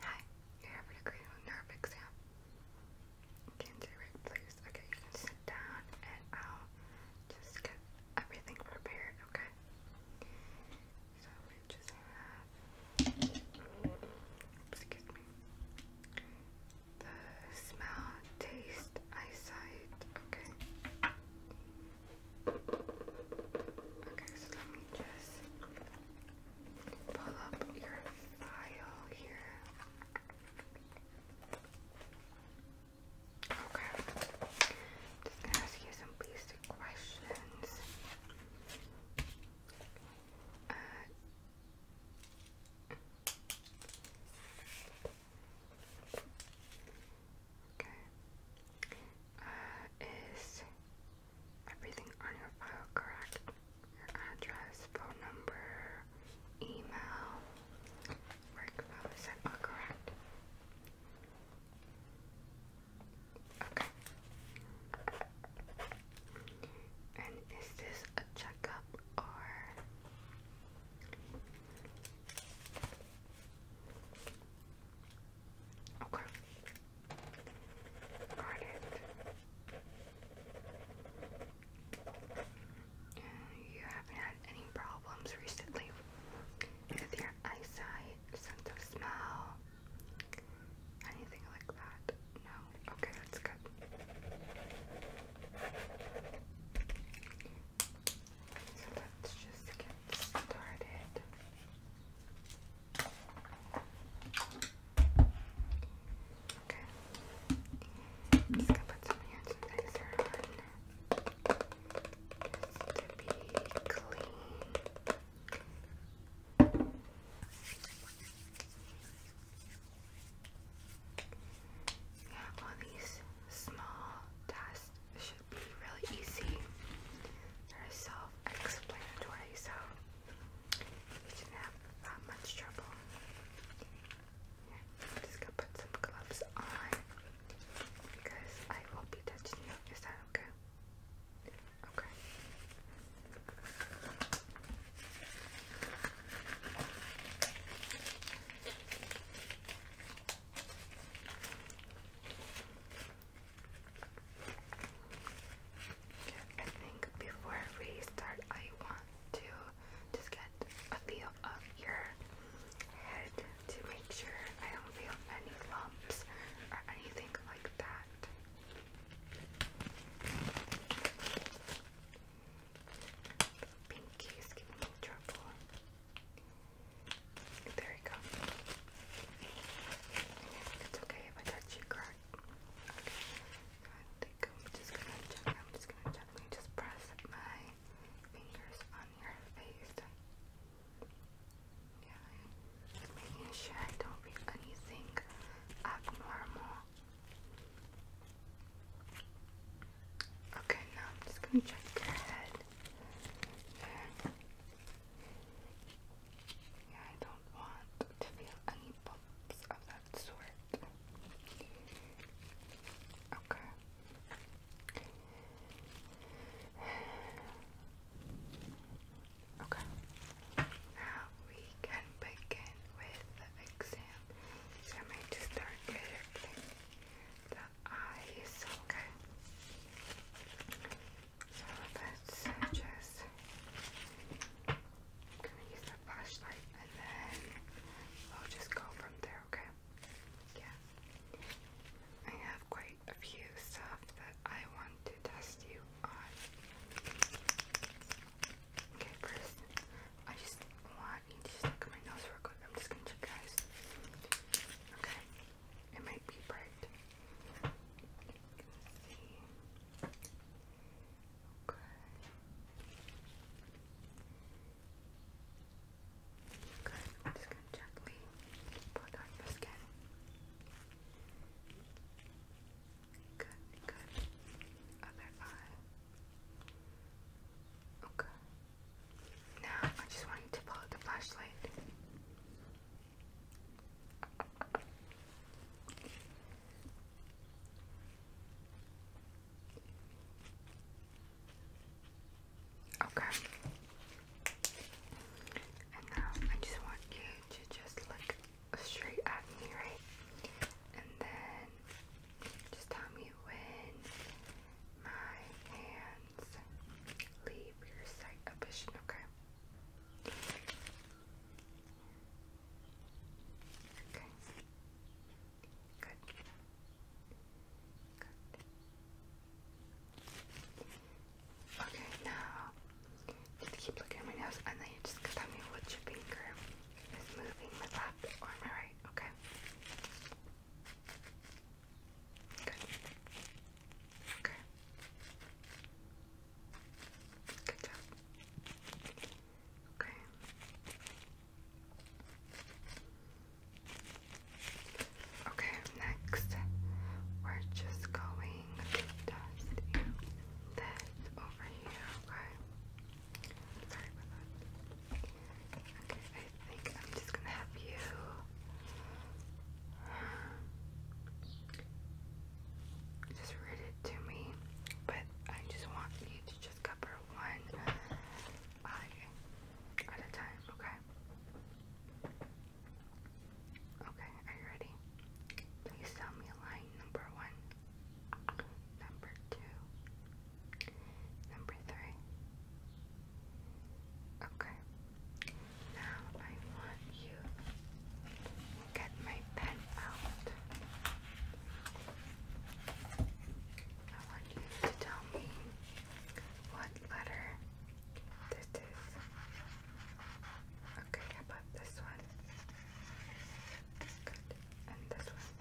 Hi, you're having a nerve exam. Can do it, please. Okay, you can sit down and I'll just get everything prepared, okay? So we just have, excuse me, the smell, taste, eyesight, okay? Okay, so let me just pull up your file here. Okay. I'm just gonna ask you some basic questions. Uh, okay. Uh, is everything on your file correct. Your address, phone number, email, work phone, is that all correct? Okay. And is this a checkup or Okay. Got You haven't had any problems recently with your eyesight, sense of smell, anything like that? No? Okay, that's good. So let's just get started. Okay. i just gonna put some hand sanitizer on. to be clean. Yeah, all these small tasks should be really easy. They're self-explanatory, so didn't have that much trouble. I'm just gonna put some gloves on because I will not be touching you. Is that okay? Okay. Okay. I think before we start, I want to just get a feel of your head to make sure I don't feel any lumps or anything like that. Pinky is giving me trouble. There we go. It's okay if I touch you, correct? Okay. I'm just gonna check. I'm just gonna check. Let me just press my fingers on your face. Yeah. making sure I don't read anything abnormal. Okay, now I'm just gonna check your head. Yeah, I don't want to feel any bumps of that sort. Okay. Okay. Now we can begin with the exam. So I start with the eyes. Okay. So let's just, I'm gonna use the flashlight and then we'll just go from there, okay? Yeah. I have quite a few stuff that I want to test you on. Okay, first, I just want you to just my nose real quick. I'm just gonna check Okay. It might be bright see. Okay. Okay, I'm just gonna gently put on your skin. Good, good. Other eye. Okay. Now I just want you to pull out the flashlight. Okay. And now I just want you to just look straight at me, right? And then just tell me when my hand hands leave your sight of okay? Okay. Good. Good. Okay, now just keep looking at my nose and then you just tell me which finger is moving my left or my right, okay? Good. Okay. Good job. Okay. Okay, next we're just going to dust you this over here, okay? Sorry about that. Okay, I think I'm just gonna have you just read it to me, but I just want you to just cover one eye at a time, okay? Okay, are you ready? Please tell me line number one, number two, number three. Okay, now I want you to get my pen out. I want you to tell me what letter this is. Okay, about this one? Good. And this one.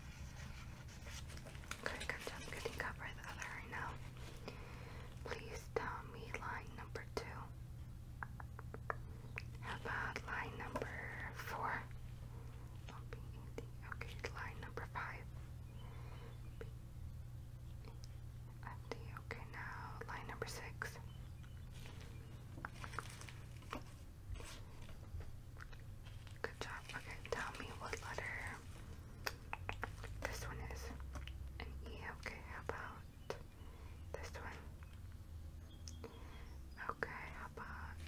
Good, good job. Getting the other right now. Please tell me line number two. How about line number 4 Okay, line number five. Okay, now line number six. Good job. Okay, tell me what letter this one is an E. Okay, how about this one? Okay, how about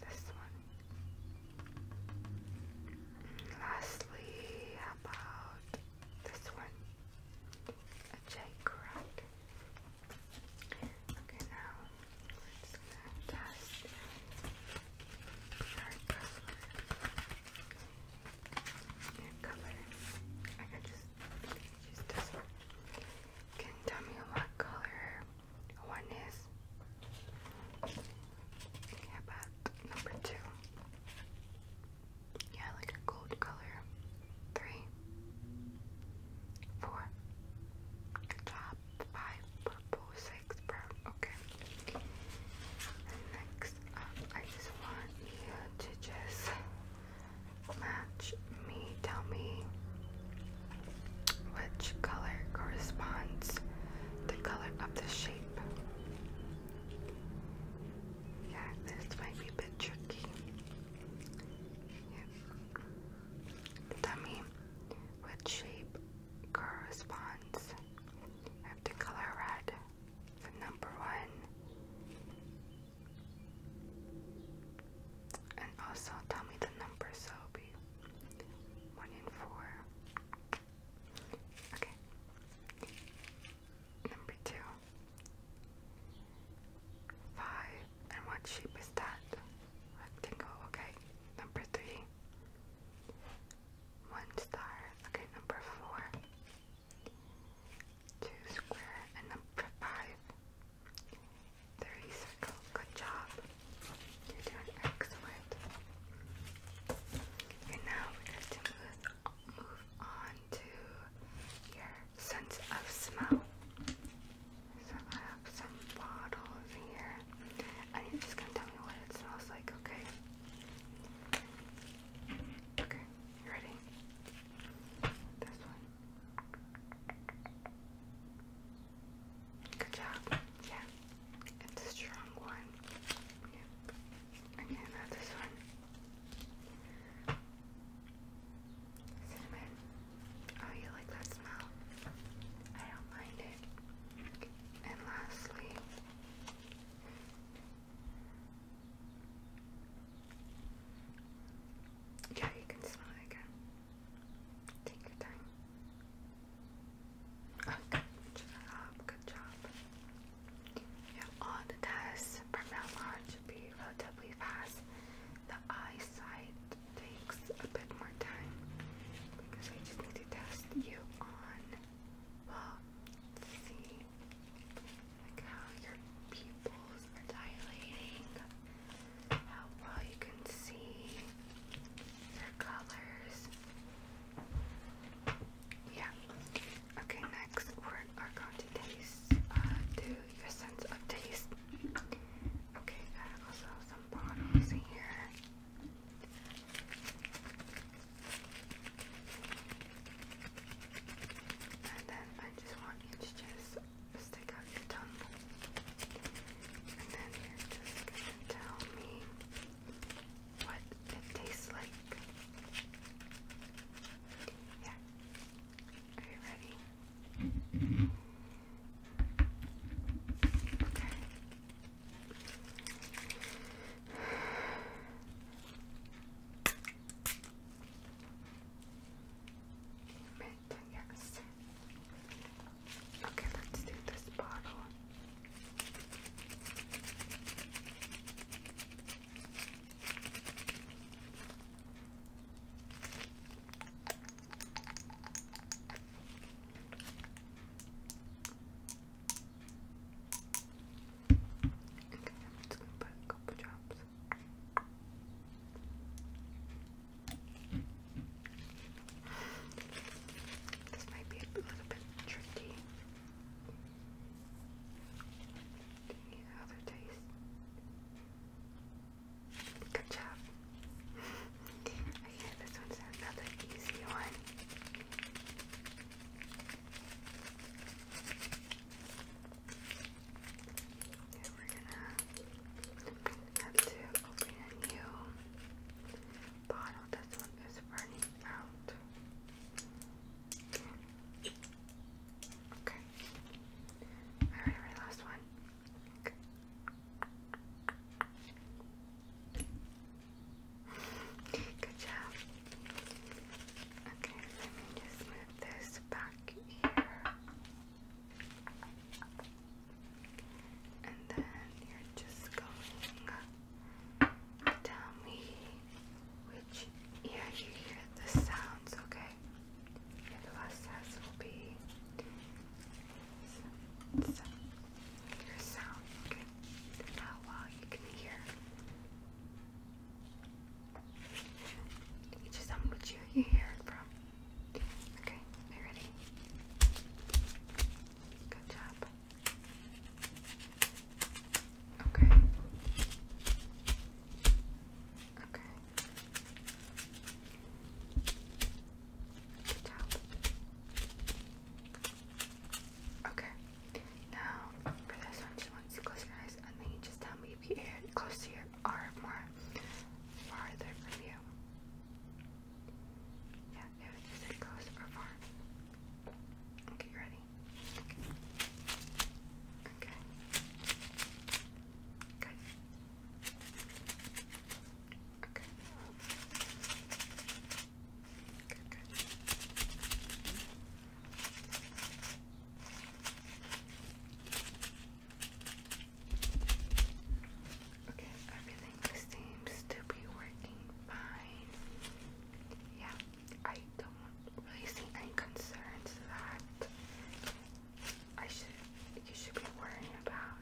this one? Mm, lastly, how about this one? A J, correct? Okay, now we're test our customer. Hair color. I can just use this Can you tell me what color one is? How about number two? Yeah, like a gold color. Three. Four. Good job. Five. Purple. Six. Brown. Okay. next. I just want you to just match me. Tell me which color corresponds the color of the shape. Yeah, this might be a bit tricky. Tell me which shape corresponds with the color red the number one, and also tell me the number, so one in four. Okay. Number two. Five. And what shape is that? Rectangle. Okay. Number three. One star. Okay, number four. 2 square and number 5 30 circle, good job you're doing excellent and now we're going to move on to your sense of smell so I have some bottles here and you're just going to tell me what it smells like, okay? Okay, you ready? This one. Good job. Yeah. It's a strong one. Yeah. Okay, now this one. Cinnamon. Oh, you like that smell? I don't mind it. And lastly, yeah, you can smell it again. Take your time. Okay, oh, good job, good job. Yeah, the tests from now on should be relatively fast. The eyesight takes a bit more time because I just need to test you on well, see, like how your pupils are dilating, well you can see uh, your colors. Yeah. Okay, next we are going to taste, uh, do your sense of taste. Okay, also some bottles here. And then I just want you to just stick out your tongue. And then just tell me what it tastes like. Yeah. Are you ready? Mm-hmm. Okay. Mint, yes. Okay, let's do this bottle. Okay, I'm just gonna put a couple drops. This might be a little bit tricky. Any other taste? Good job. okay, this one's another easy one. Okay, we're gonna have to open a new bottle. This one is running out. Okay. Alright, alright, last one. Good job. Okay, let me just move this back here. And then you're just going tell me which ear you hear the sounds, okay? And last test will be hear sound. You how well you can hear. You just tell um, which you hear it from. Okay, you ready? Good job. Okay. Okay. Good job. Okay. Now for this one, just want you close your eyes and then you just tell me if you hear close to your or farther from you. Yeah, it was just like close or far. Okay, you ready? Okay. Good. Okay. Good, Okay, everything seems to be working fine. Yeah, I don't really see any concerns that I should you should be worrying about.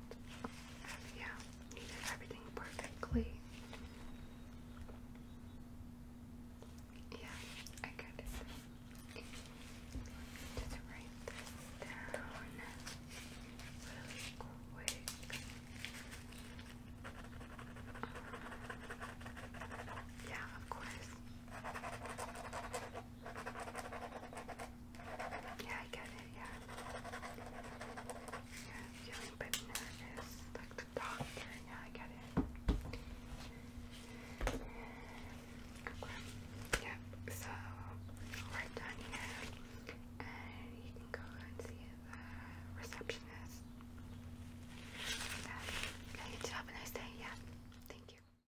Yeah. You did everything perfectly. Yeah, I got it. Just write this down really quick. Yeah, of course. Yeah, I get it yeah. feeling a bit nervous. Like the doctor, yeah, I get it. Yep, so we're done here. And you can go and see the uh, receptionist. Yeah, you too. Have a nice day, yeah. Thank you.